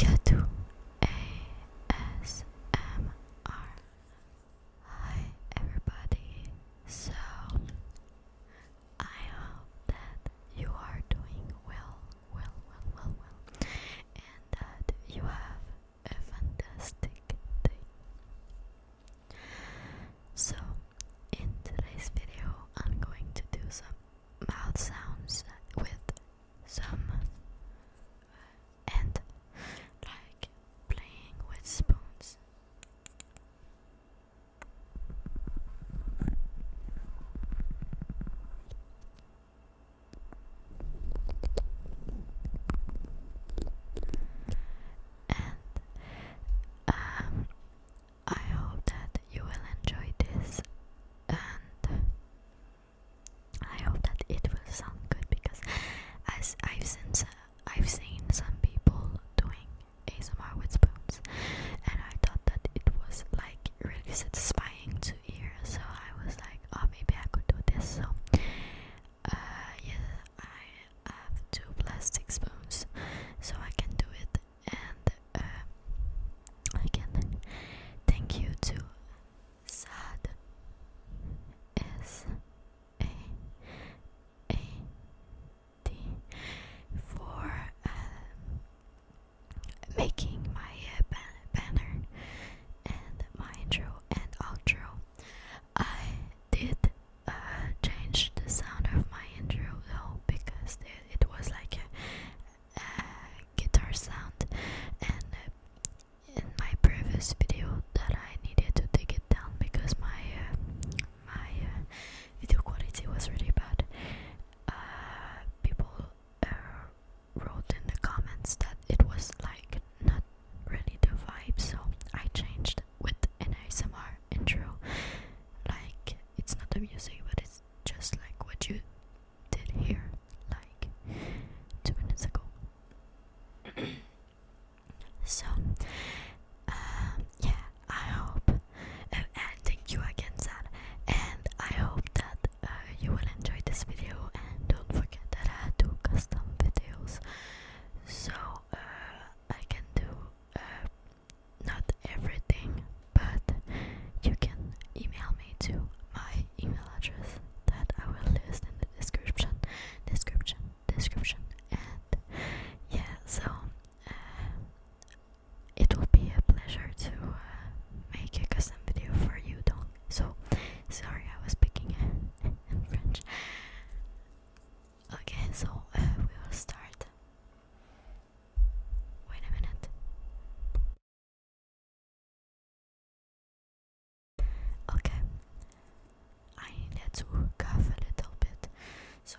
Kadu Hi everybody. So I hope that you are doing well, well, well, well, well, and that you have a fantastic day. So in today's video, I'm going to do some mouth sounds with some uh, and like playing with spoons. And um, I hope that you will enjoy this and I hope that it will sound good because as I've seen I've seen some people doing ASMR with spoons and I thought that it was like really satisfying to hear so I was like oh maybe I could do this so uh I have two plastic spoons so I can do it and uh, again thank you to Sad S A A D for uh, making my uh, banner and my intro and outro. I did change the sound of my intro though because it, was like a, guitar sound and uh, in my previous video that I needed to take it down because my uh, my uh, video quality was really bad people wrote in the comments that it was like not really the vibe so I changed with an ASMR intro. Like it's not the music, but it's just like what you did here, like two minutes ago. so, um, yeah, I hope, uh, and thank you again, Zan, and I hope that uh, you will enjoy this video. And don't forget that I do custom videos, so uh, I can do uh, not everything, but you can email me to my email address that I will list in the description, description, description, and yeah, so uh, it will be a pleasure to uh, make a custom video for you, Dong. So sorry, I was speaking in French. Okay, so uh, we will start. Wait a minute. Okay. I need to cough a little bit. So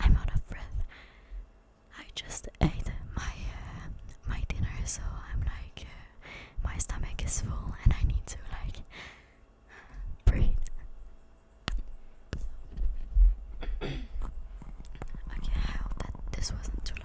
I'm out of breath. I just ate my uh, my dinner, so I'm like uh, my stomach is full and I need to like breathe. okay, I hope that this wasn't too loud.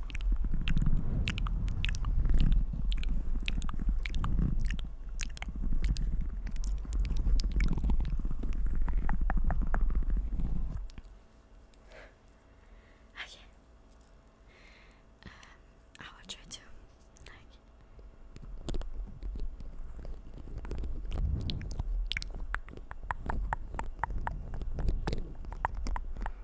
Okay. Um, I will try to like.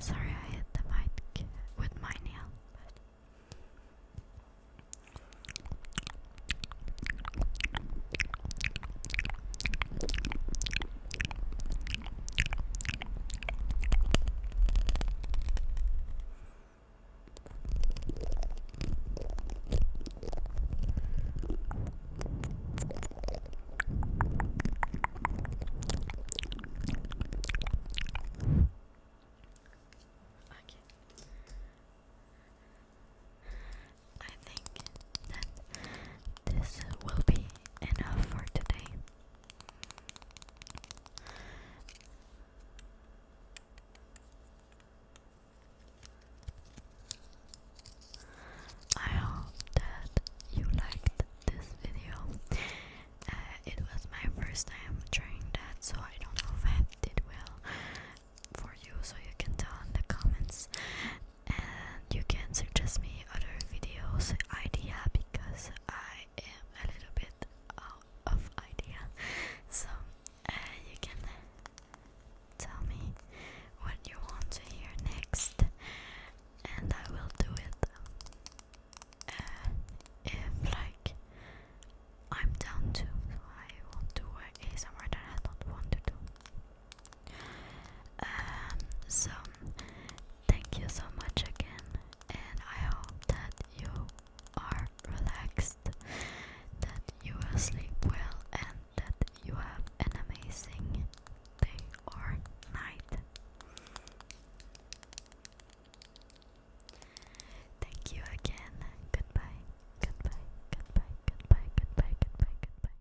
Sorry, I hit the mic with my nail. Okay. I think that this will be enough for today. I hope that you liked this video. Uh, it was my first time trying that, so I don't know if I did well for you, so you can tell in the comments. And you can suggest me other videos idea because I am a little bit out of idea. So uh, you can tell me what you want to hear next and I will do it um, uh, if like I'm down to. I want to wear ASMR that I don't want to do. Um, so thank you so much again, and I hope that you are relaxed, that you will sleep well, and that you have amazing day or night. Thank you again. Goodbye. Goodbye. Goodbye. Goodbye. Goodbye. Goodbye. Goodbye.